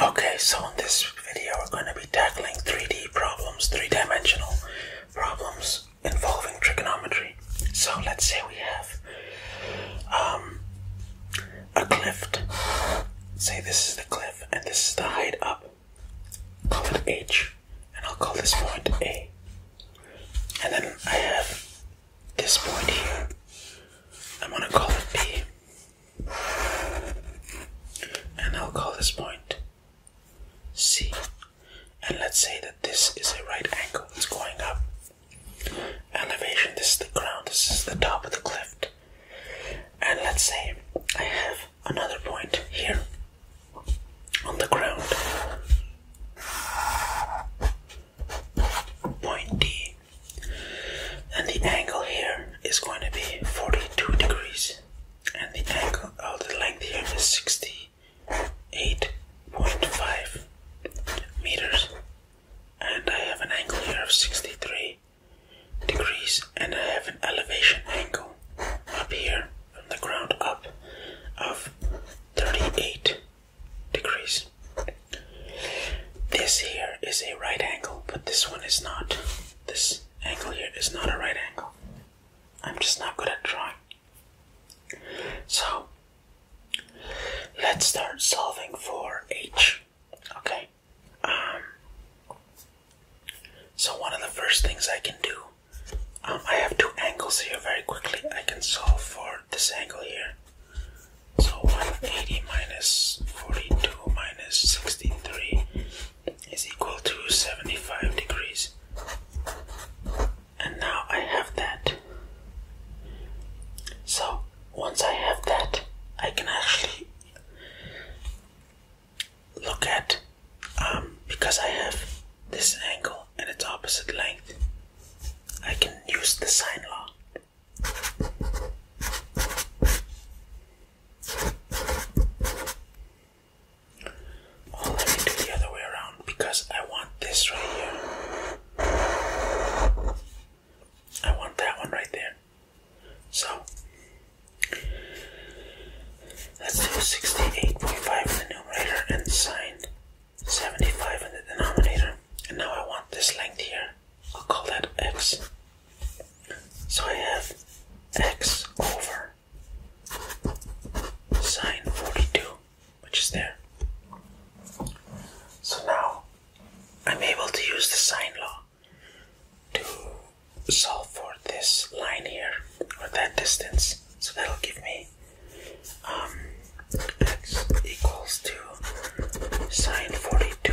Okay, so in this video we're going to be tackling 3D problems, three-dimensional problems involving trigonometry. So let's say we have um, a cliff. Say this is the cliff and this is the height up. Call it H and I'll call this point A. And then I have this point here. I'm going to call it B. And I'll call this point C. And let's say that this is a right angle, it's going up. Elevation, this is the ground, this is the top of the cliff. And let's say I have another point here on the ground. Point D and the angle here is going to be 42 degrees and the angle of oh, the length here is 68.5 meters and I have an angle here of 63 degrees and I have an elevation angle up here from the ground up of 38 degrees. This here is a right angle, but this one is not. This angle here is not a right angle. I'm just not good at drawing. So, let's start solving for h. Okay. Um, so one of the first things I can do, um, I have two angles here very quickly. I can solve for this angle here so 180 minus 42 minus 63 is equal to 75 degrees. And now I have that. So once I have that, I can actually look at um, because I have this angle and its opposite length, I can use the sine law Oh, let do the other way around because I want this right here. I want that one right there. So let's do 68.5 in the numerator and sign 75 in the denominator. And now I want this length here I'll call that x. So I have x over sine 42, which is there. So now I'm able to use the sine law to solve for this line here, or that distance. So that'll give me um, x equals to sine 42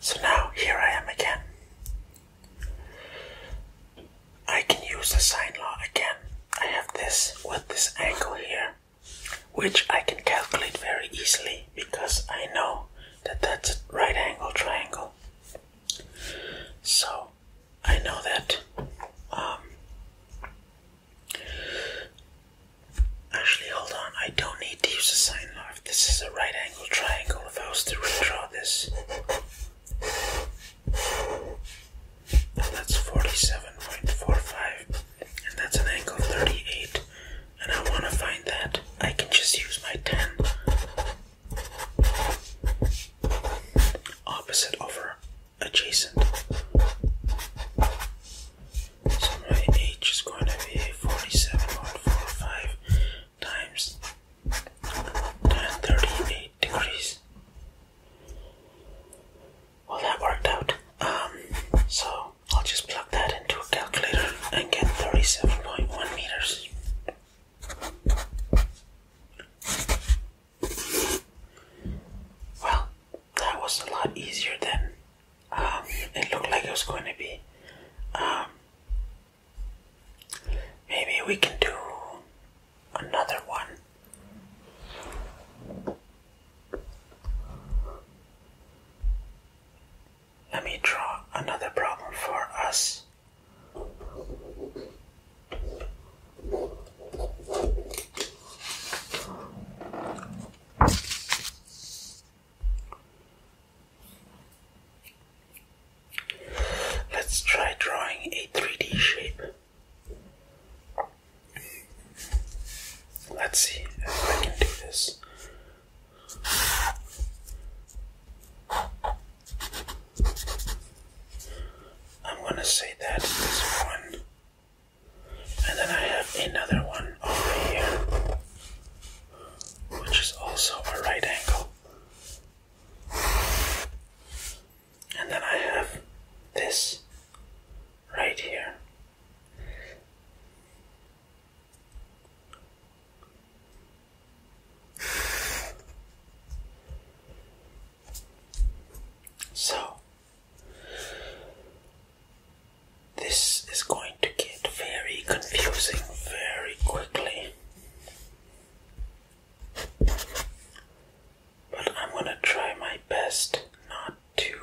So now here I am again. I can use the sine law again. I have this with this angle here, which I can calculate very easily because I know that that's a right angle triangle. So I know that um, Actually, hold on. I don't need to use a sine law. This is a right angle triangle. If I was to redraw this, that's 47.45, and that's an angle 38. And I want to find that. I can just use my 10 opposite over adjacent. So my age is going to be 47.45 times ten thirty-eight degrees. Well, that worked out. Um, so I'll just plug that into a calculator and get 37.1 meters. Well, that was a lot easier than um, it looked like it was going to be. Um, maybe we can do another one. Let me draw another problem for us. Let's try drawing a 3D shape. Let's see if I can do this. I'm gonna say that is one, and then I have another one over here which is also a right angle. And then I have this right here. So, this is going to get very confusing very quickly. But I'm going to try my best not to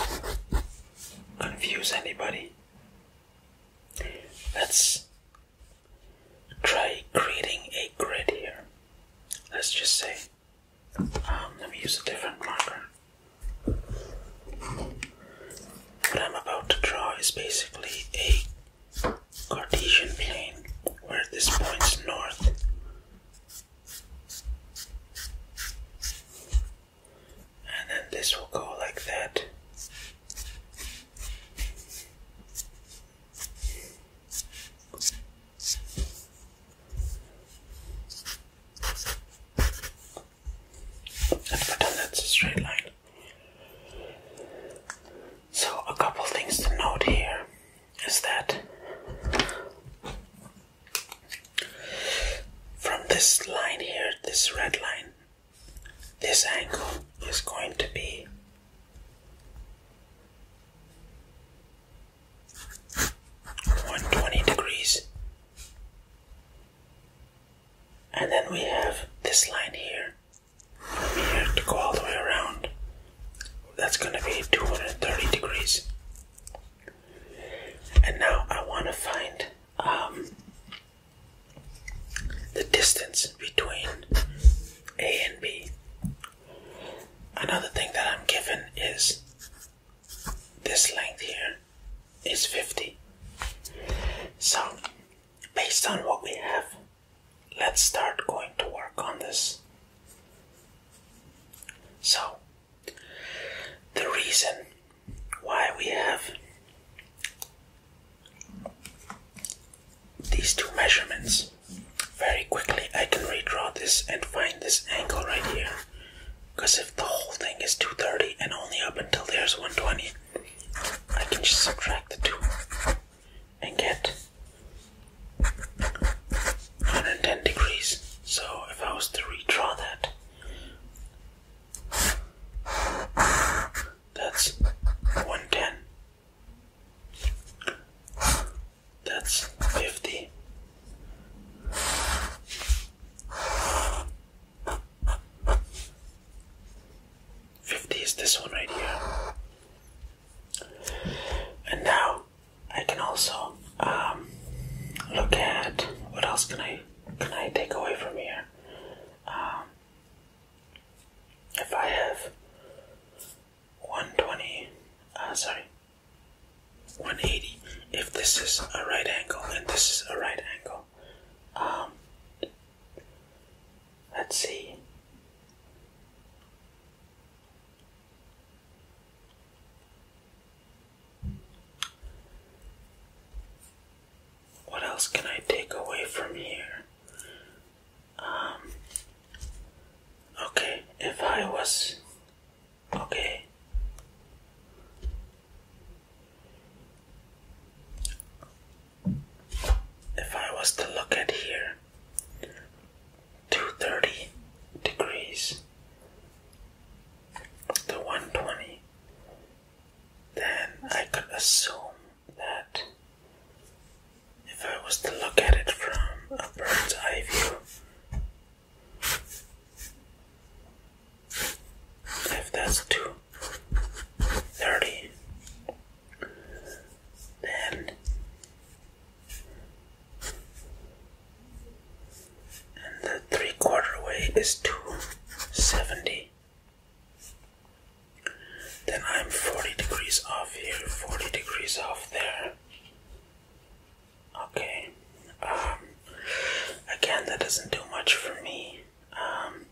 uh, confuse anybody. Let's try creating a grid here. Let's just say um, let me use a different marker. What I'm about to draw is basically a Cartesian plane where this points north. And then this will go like that and pretend that's a straight line. So, a couple things to note here is that from this line here, this red line, this angle is going to be 120 degrees. And then we have this line here from here to go all the way around. That's going to be 230 degrees. And now I want to find um, the distance between A and B. Another thing that I'm given is this length here is 50. So, based on what we have, let's start going to work on this. So, the reason why we have these two measurements very quickly, I can redraw this and find this angle right here because if the whole thing is 230 and only up until there's 120, I can just subtract the two and get 110 degrees. So if I was to redraw that, that's 110. That's 50. Fifty is this one right here, and now I can also um, look at what else can I can I take away from here. Um, if I have one twenty, uh, sorry, 180 if this is a right angle and this is a right angle. Um, let's see. What else can I take away from here? Um, okay, if I was Okay. If I was to look at here, 230 degrees to 120, then I could assume that if I was to look at it from a bird's eye view, if that's 230 then and the three quarter way is 270 then I'm 40 degrees off here 40 degrees off there Okay. Um, again, that doesn't do much for me. Um,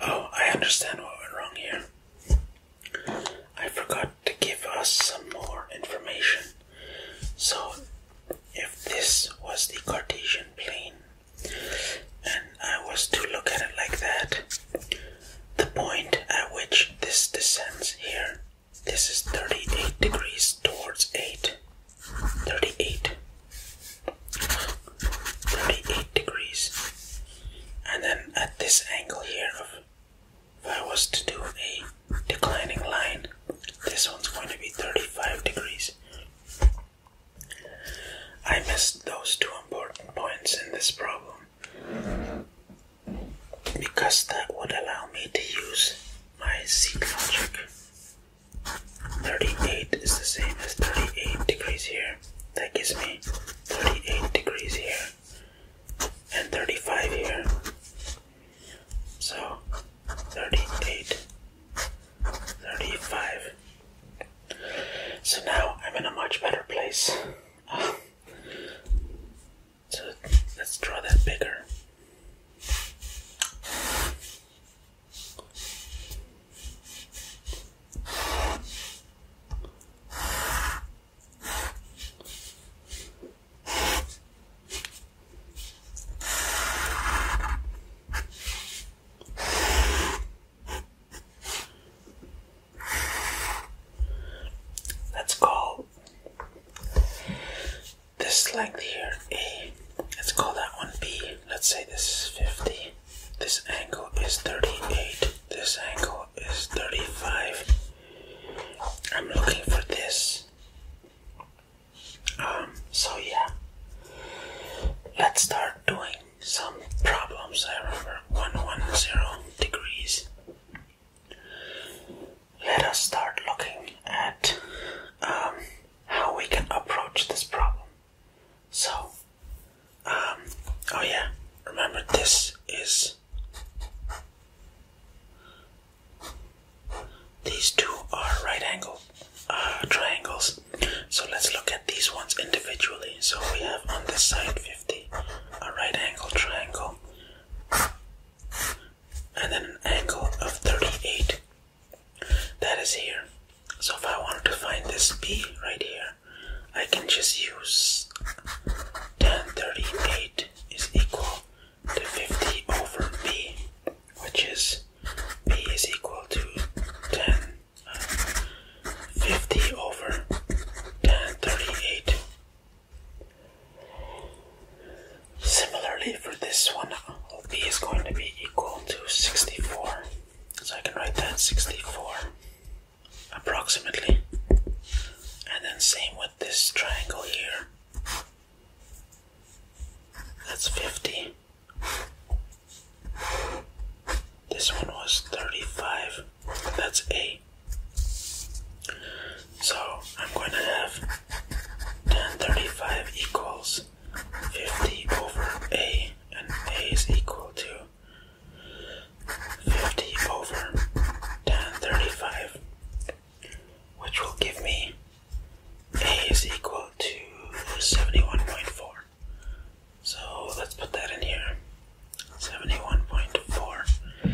oh, I understand what went wrong here. I forgot to give us some more information. So, if this was the Cartesian plane, and I was to look at it like that, the point at which this descends here this is 38 degrees towards 8. 38. 38 degrees. And then at this angle here, if I was to do a declining line, this one's going to be 35 degrees. I missed those two important points in this problem because that would allow me to use my seat logic. 38 is the same as 38 degrees here. That gives me 38 degrees here and 35 here. So 38, 35. So now I'm in a much better place. Ah. So let's draw that bigger. Let's call this length here A. Let's call that one B. Let's say this is 50. This angle is 38. This angle is 35. I'm looking for this. Um, so yeah. Let's start doing some problems. I remember 110 degrees let us start looking at um, how we can approach this problem. So, um, oh yeah, remember this is. These two are right angle uh, triangles. So let's look at these ones individually. So we have on this side 50, a right angle triangle and then an angle of 38 that is here so if I wanted to find this B right here I can just use 10 38 is equal to 50 over B which is B is equal to 10 uh, 50 over 10 38. Similarly for this one, B is going to be equal to 64. So I can write that 64 approximately. And then same with this triangle here. That's 50. This one was 35. That's A. So I'm going to have 1035 equals 50 over A, and A is equal to 50 over 1035, which will give me A is equal to 71.4. So let's put that in here 71.4.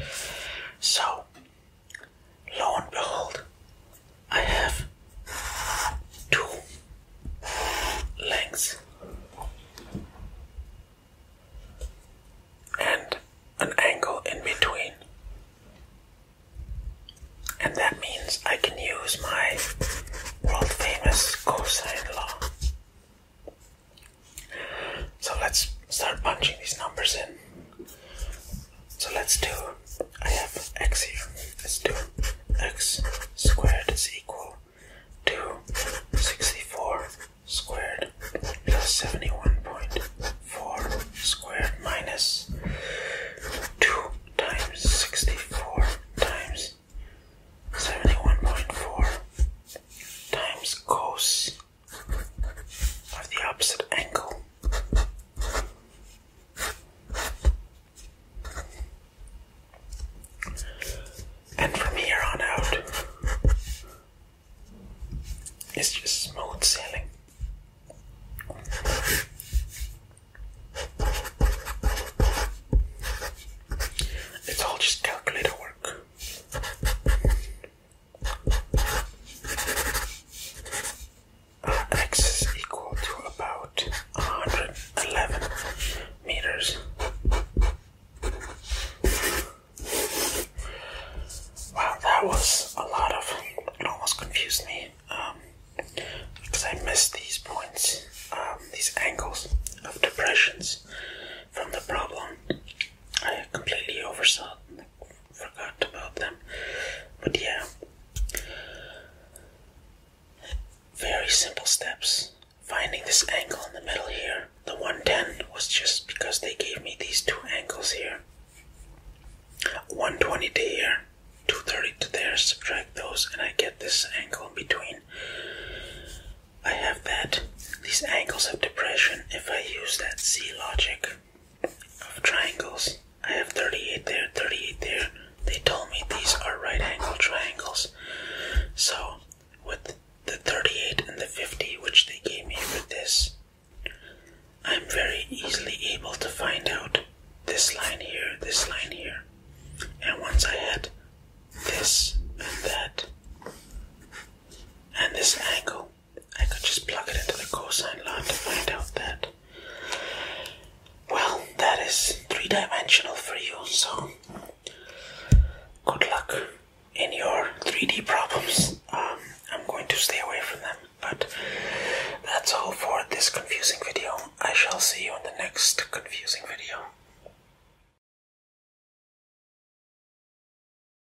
So lo and behold, I have two legs and an angle in between. And that means I can use my world famous cosine law. So let's start punching these numbers in. So let's do, I have x here. Let's do x squared is equal to 64 squared plus 71.4 squared minus 2 times 64 times 71.4 times cos of the opposite angle. And from here on out, it's just smooth sailing. It's all just calculator work. Uh, x is equal to about 111 meters. Wow, that was a lot of. It almost confused me because um, I missed these points, um, these angles of depressions from the problem. I completely oversaw forgot about them. But yeah, very simple steps. Finding this angle in the middle here. The 110 was just because they gave me these two angles here. 120 to here, 230 to there, subtract those, and I get this angle in between. I have that. These angles have depression. If I use that C logic, of triangles. I have 38 there, 38 there. They told me these are right angle triangles. So, with the 38 and the 50, which they gave me for this, I'm very easily able to find out this line here, this line here. And once I had this and that, and this angle, I could just plug it into the cosine law to find out that. Well, that is three dimensional for you, so good luck in your 3D problems. Um, I'm going to stay away from them, but that's all for this confusing video. I shall see you in the next confusing video.